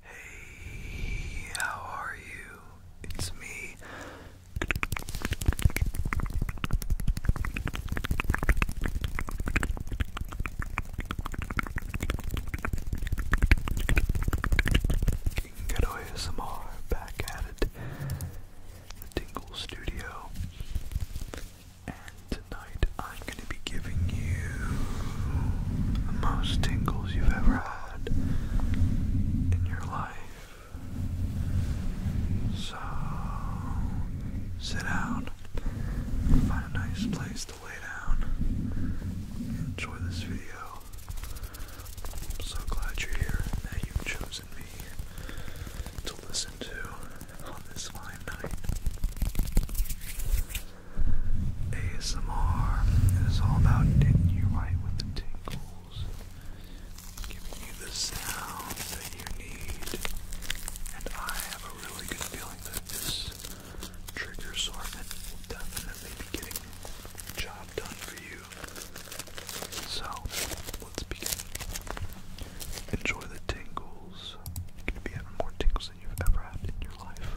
Hey, how are you? It's me. Ghetto ASMR back at it. The Dingle Studio. And tonight I'm going to be giving you the most tingles you've ever had in your life. So, sit down, find a nice place to lay down, enjoy this video. I'm so glad you're here and that you've chosen me to listen to on this fine night. ASMR is all about getting you right with the tingles, giving you the sound that you need, and I have a really good feeling that this trigger assortment will definitely be getting the job done for you. So, let's begin. Enjoy the tingles. You're going to be having more tingles than you've ever had in your life.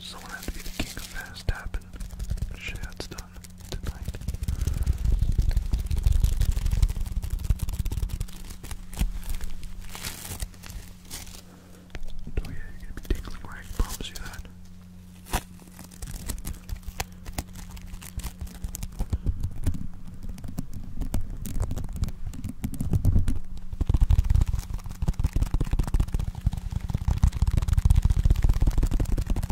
Someone had to be the king of fast tapping. Shit, that's done tonight. Oh you be tickling right, promise you that.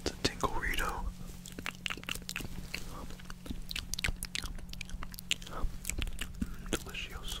It's a tingle Rito. Delicioso.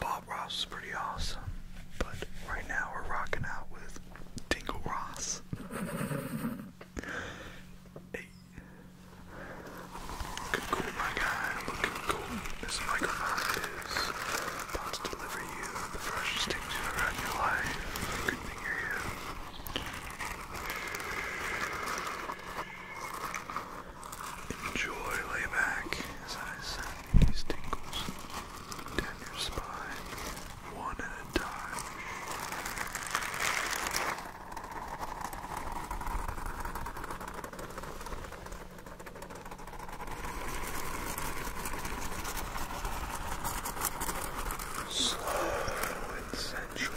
Bob Ross is pretty awesome, but right now we're rocking out with Dingle Ross. Looking cool, my guy. Looking cool. This microphone is about to the freshest things you've your life. Good thing you're here. Enjoy, lay back as I send these tingles down your spine, one at a time. Slow and sensual.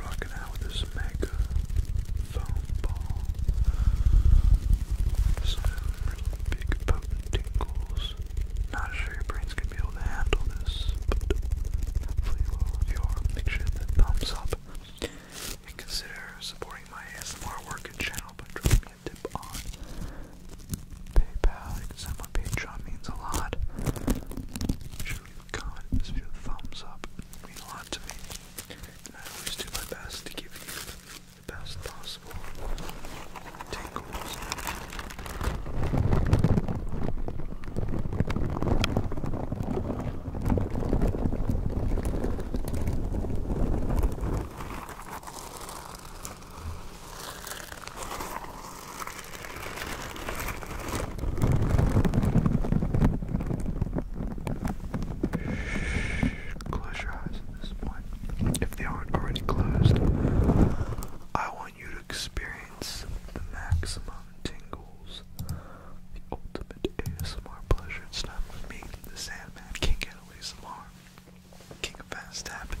Rocking out with this mega foam ball. Some big potent tingles. Not sure your brain's gonna be able to handle this, but hopefully you will if Make sure that thumbs up and consider supporting my ASMR work channel by dropping a tip on PayPal, you Patreon, means a lot. Make sure you comment in this video, thumbs up, it means to me. And I always do my best to give you the best possible tingles. Close your eyes at this point. If they aren't already closed, I want you to experience the maximum tingles, the ultimate ASMR pleasure. It's time with me, the Sandman, King Italy ASMR, King of Fast Tapping.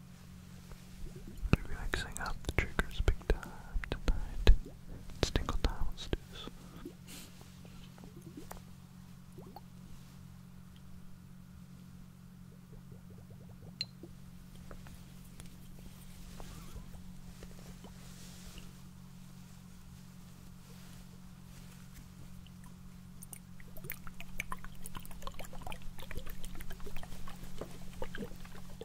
Be relaxing out the triggers big time tonight. It's tingle time, let's do this.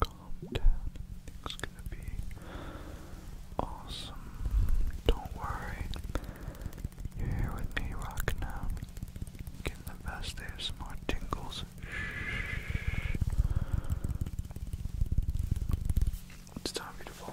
Calm down. Everything's gonna be awesome. Don't worry. You're here with me, Rock out. Getting the best they have some more tingles. It's time for you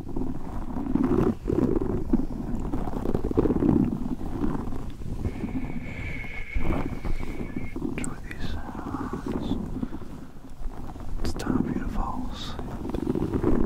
Enjoy these sounds. It's time for you to fall asleep. Relax.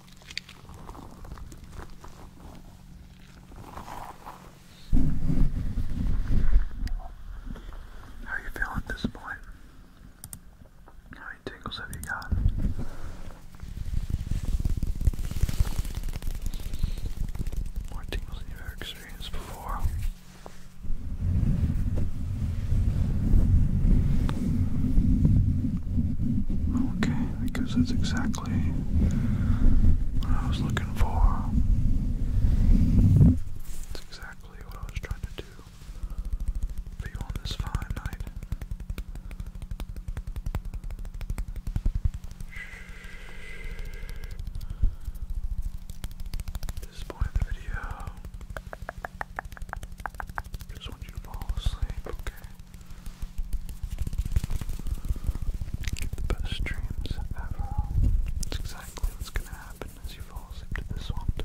How are you feeling at this point? How many tingles have you got? More tingles than you ever experienced before. Okay, because that's exactly exactly what I was looking for. It's exactly what I was trying to do for on this fine night. At this point of the video. Just want you to fall asleep, okay? Get the best dreams ever. It's exactly what's gonna happen as you fall asleep to this tonight.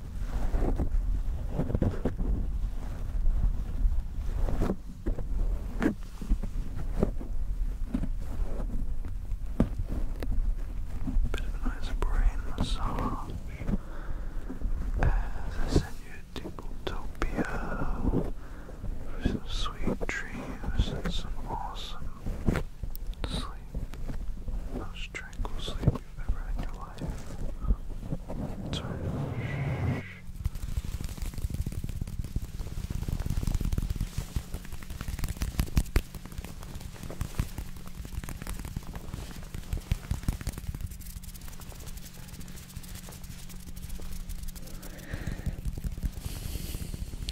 Bit of a nice brain massage as I send you to Tingletopia for some sweet dreams and some awesome sleep tranquil sleep you in your life. Sorry.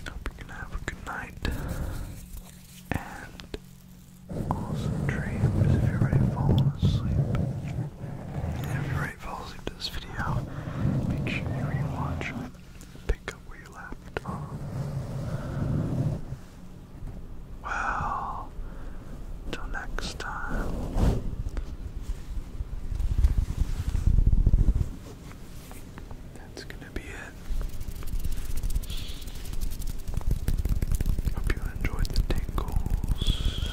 Hope you can have a good night and dreams if you're already falling asleep. if you're already falling asleep to this video, make sure you rewatch it pick up where you left off. Well, till next time. That's gonna be it. Hope you enjoyed the tingles.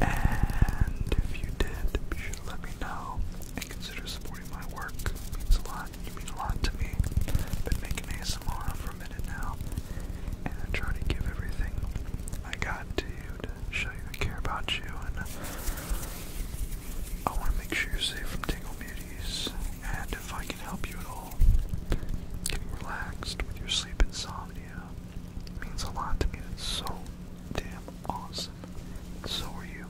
And if you did, be sure to let me know and consider supporting my work. means a lot. You mean a lot to me. been making ASMR for a minute now. And I try to give everything I got to you to show you I care about you. And I want to make sure you're safe from tingle beauties. And if I can help you at all, Getting relaxed with your sleep insomnia means a lot to me. It's so damn awesome. So are you.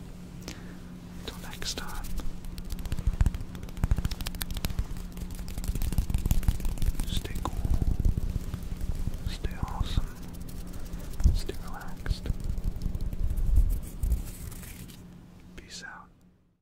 Until next time. Stay cool. Stay awesome. Stay relaxed. Peace out.